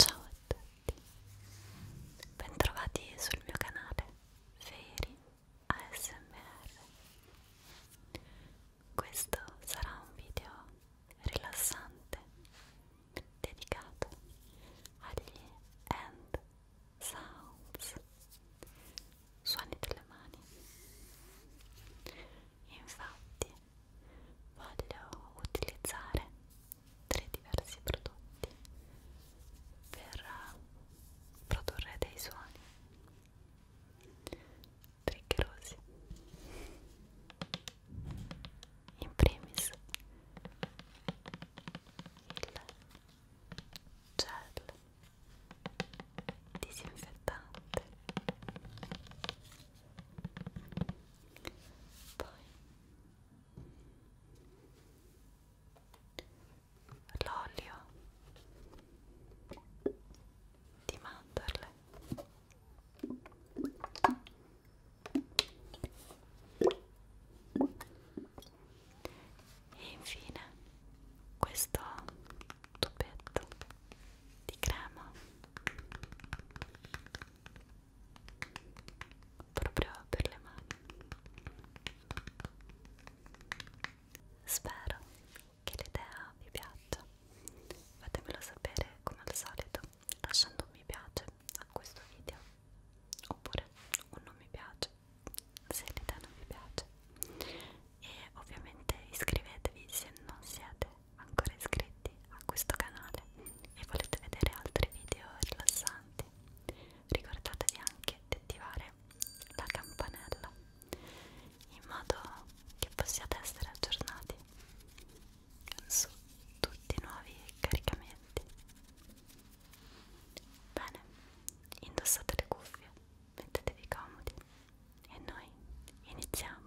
Ciao a tutti, bentrovati sul mio canale. Feri ASMR. Questo sarà un video rilassante dedicato agli end sounds, suoni delle mani. Infatti voglio utilizzare tre diversi prodotti per eh, produrre dei suoni triggerosi in primis il gel disinfettante poi l'olio di mandorle e infine questo tubetto di crema proprio per le mani. Spero che l'idea vi piaccia. Fatemelo sapere come al solito lasciando un mi piace a questo video oppure un non mi piace se l'idea non vi piace e ovviamente iscrivetevi se non siete ancora iscritti a questo canale e volete vedere altri video rilassanti rilassati. Ricordatevi anche di attivare la campanella in modo che possiate essere aggiornati su tutti i nuovi caricamenti. Bene, indossate le cuffie, mettetevi comodi e noi iniziamo.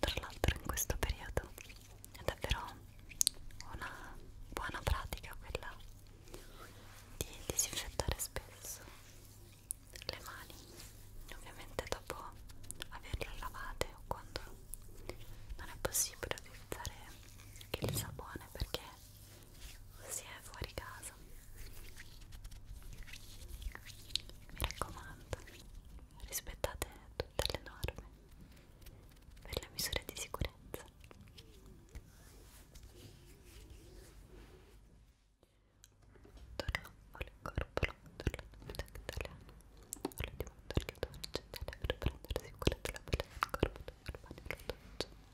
Tra l'altro in questo periodo è davvero una buona pratica quella di disinfettare spesso le mani, ovviamente dopo averle lavate o quando non è possibile utilizzare il sapone perché si è fuori casa mi raccomando rispettate tutte le norme per le misure di sicurezza Tornavo il corpo l'ondolo italiano Volevo di mandare le torce per prendere sicurezza la pelle del corpo dopo il bagno la torce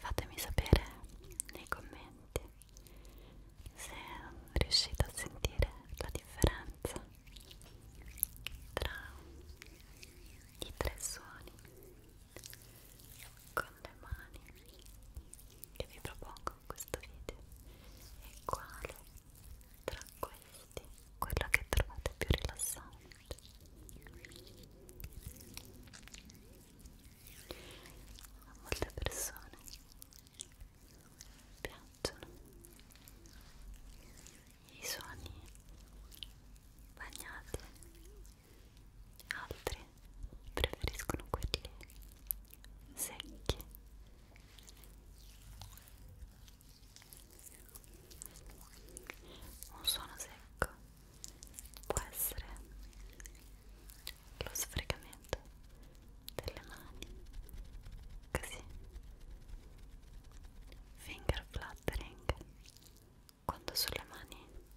Fatemi sapere nei commenti se riuscite a sentire la differenza tra i tre suoni con le mani che vi propongo in questo video e quale tra questi quello che trovate più rilassante a molte persone piacciono i suoni bagnati altre preferiscono quelli secchi un suono secco può essere lo sfregamento delle mani così finger fluttering quando sulle mani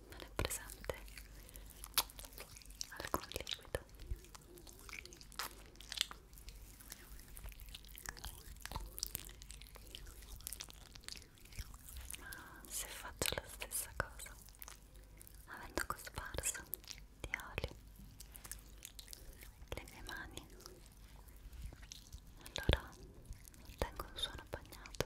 non è presente alcun liquido ma se faccio la stessa cosa avendo cosparso di olio le mie mani allora tengo un suono bagnato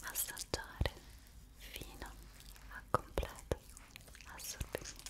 Assaggiare fino a completo assorbimento.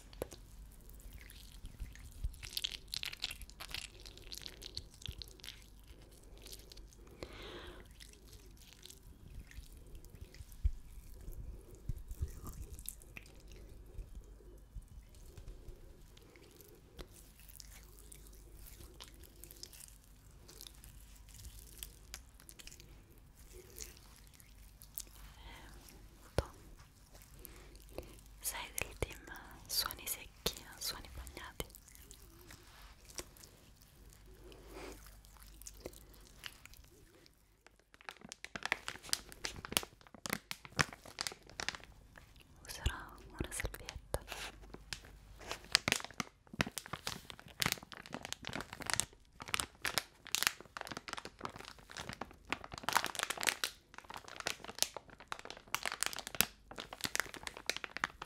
Sei del team suoni secchi, suoni bagnati? userò una salvietta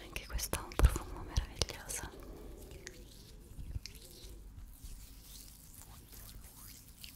Anche questo ha un profumo meraviglioso.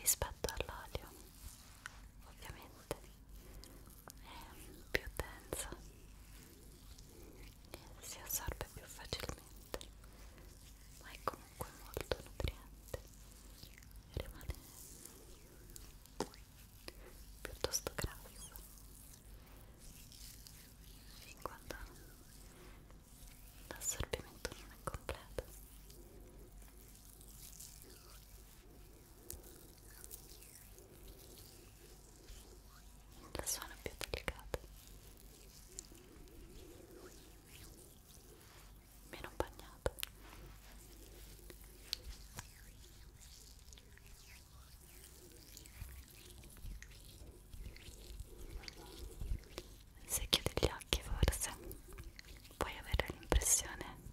rispetto all'olio ovviamente è più densa e si assorbe più facilmente ma è comunque molto nutriente e rimane piuttosto grasso fin quando l'assorbimento non è completo la suono più delicata meno bagnata se chiudi gli occhi forse puoi avere l'impressione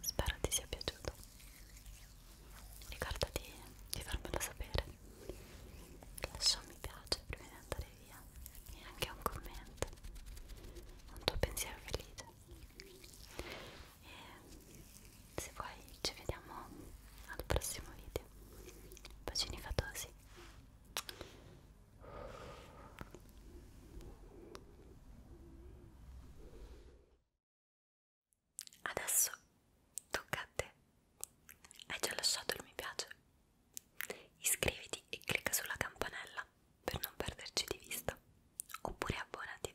Spero ti sia piaciuto. Ricordati di farmelo sapere. Lascia un mi piace prima di andare via e anche un commento. Un tuo pensiero felice e se vuoi ci vediamo al prossimo video bacini fatosi adesso tocca a te hai già lasciato il mi piace iscriviti e clicca sulla campanella per non perderci di vista oppure abbonati